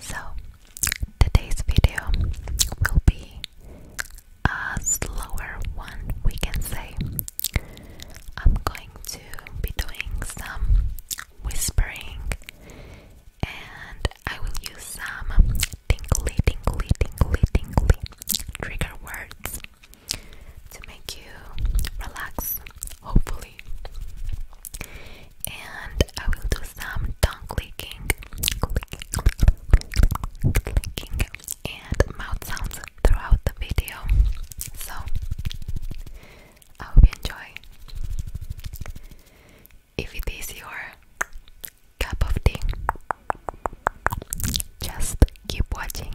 So, today's video will be a slower one, we can say. I'm going to be doing some whispering and I will use some tingly, tingly, tingly, tingly trigger words to make you relax, hopefully. And I will do some tongue clicking, clicking, clicking, and mouth sounds throughout the video. So I hope you enjoy. If it is your cup of tea. Just keep watching.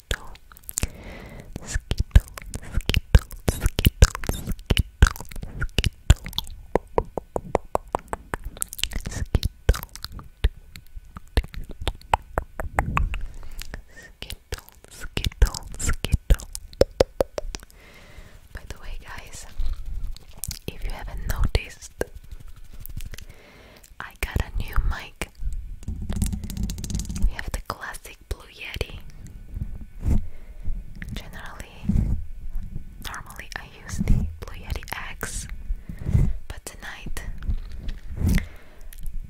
skittle, skittle, skittle, skittle, skittle, skittle, skittle, skittle, skittle, skittle. By the way, guys, if you haven't noticed, I got a new mic. We have the classic Blue Yeti. Generally, normally I use the Blue Yeti X, but tonight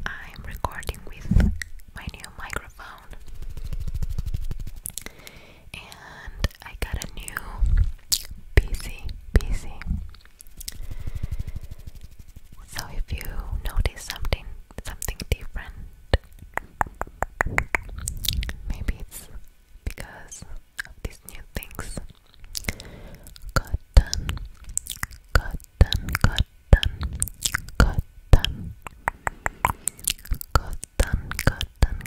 I'm recording with my new microphone. And I got a new PC, PC so if you notice something something different, maybe it's because of these new things. Cotton, cotton, cotton, cotton, cotton, cotton, cotton, cotton,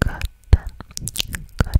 cotton, cotton,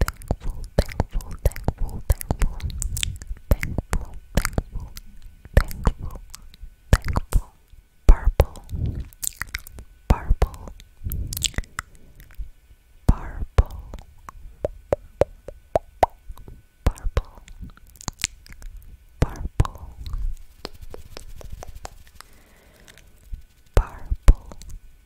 thankful, thankful, thankful, thankful, thankful, thankful, thankful, thankful, purple, purple, purple, purple, purple, purple. Purple,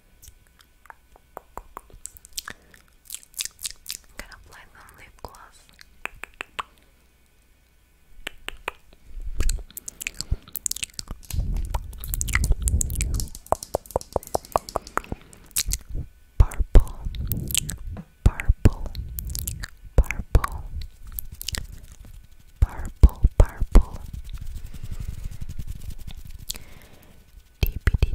I'm gonna apply some lip gloss. Purple, purple, purple, purple, purple. Dippity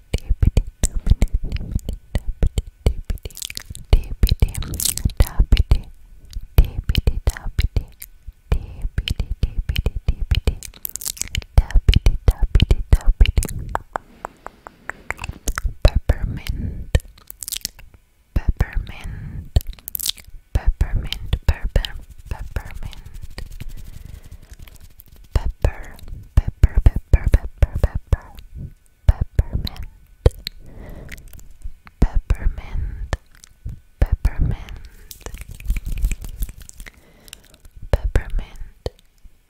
peppermint peppermint peppermint peppermint pepper, pepper, pepper, pepper, pepper, peppermint, peppermint, peppermint, peppermint, pepper, peppermint,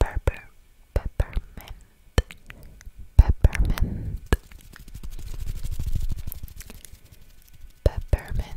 peppermint, peppermint. Peppermint,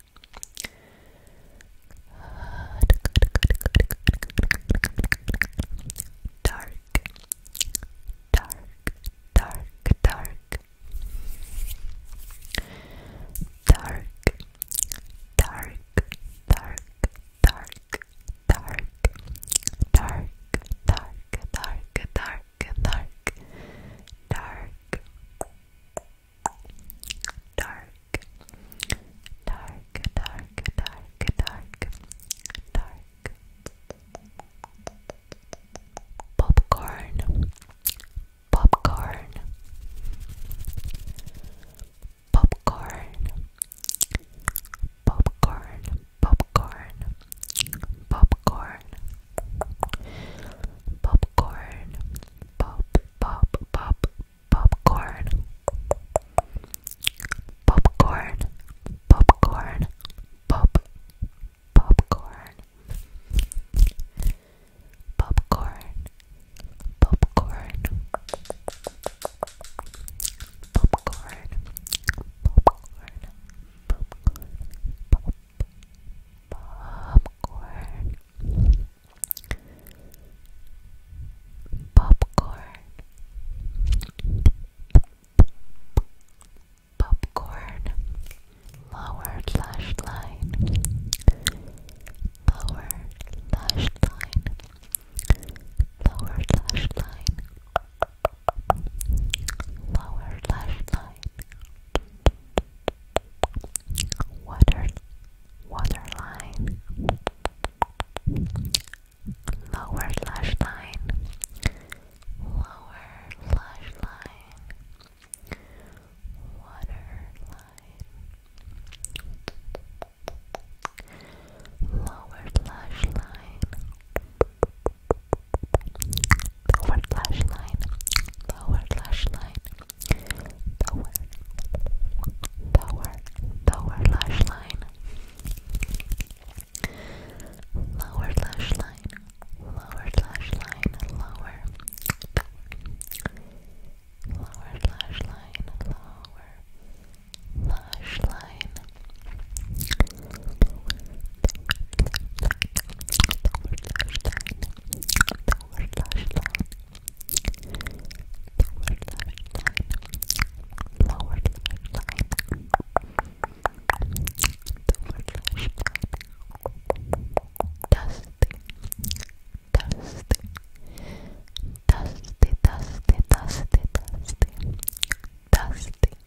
Dark, dark, dark, dark, dark, dark, dark, dark, dark, dark, dark, dark, dark, dark, dark. Dark, dark, dark, dark, dark, dark, dark popcorn, popcorn, popcorn, popcorn, popcorn, popcorn, popcorn pop, pop, pop, popcorn, popcorn, popcorn, pop, popcorn, popcorn, popcorn, popcorn, popcorn, popcorn, popcorn popcorn popcorn lower lash line lower lash line lower lash line lower lash line water water lower lash lower lash line lower lash line lower lash line, lower lash line, lower, lower, lower lash line, lower lash line, lower lash line, lower, lower lash line, lower lash line, dusty, dusty, dusty, dusty, dusty,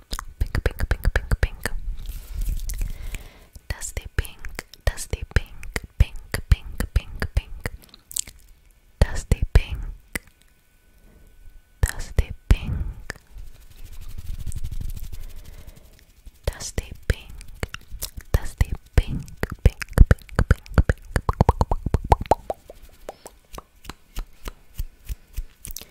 Pink, pink, pink, pink, pink. Dusty pink, dusty pink, pink, pink, pink, pink. Dusty pink, dusty pink. Dusty pink, dusty pink, pink, pink, pink, pink.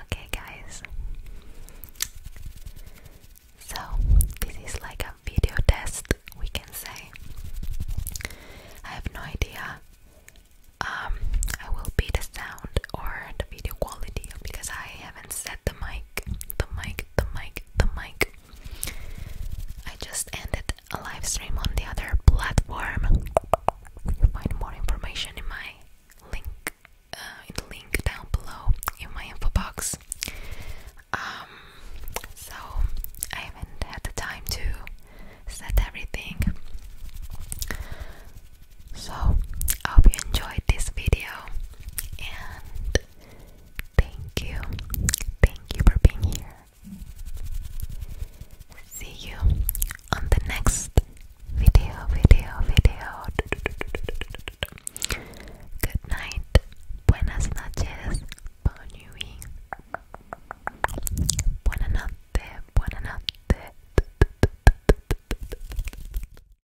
Okay, guys. So, this is like a video test, we can say. I have no idea um I will be the sound or the video quality because I haven't set the mic, the mic, the mic, the mic. I just ended a live stream on the other platform. you find more information in my link, uh, in the link down below in my info box. Um, so I haven't had the time to set everything. So I hope you enjoyed this video and Thank you. Thank you for being here. See you on the next video, video, video. Good night. Buenas noches. Bon nuit. Buena notte. Buena notte.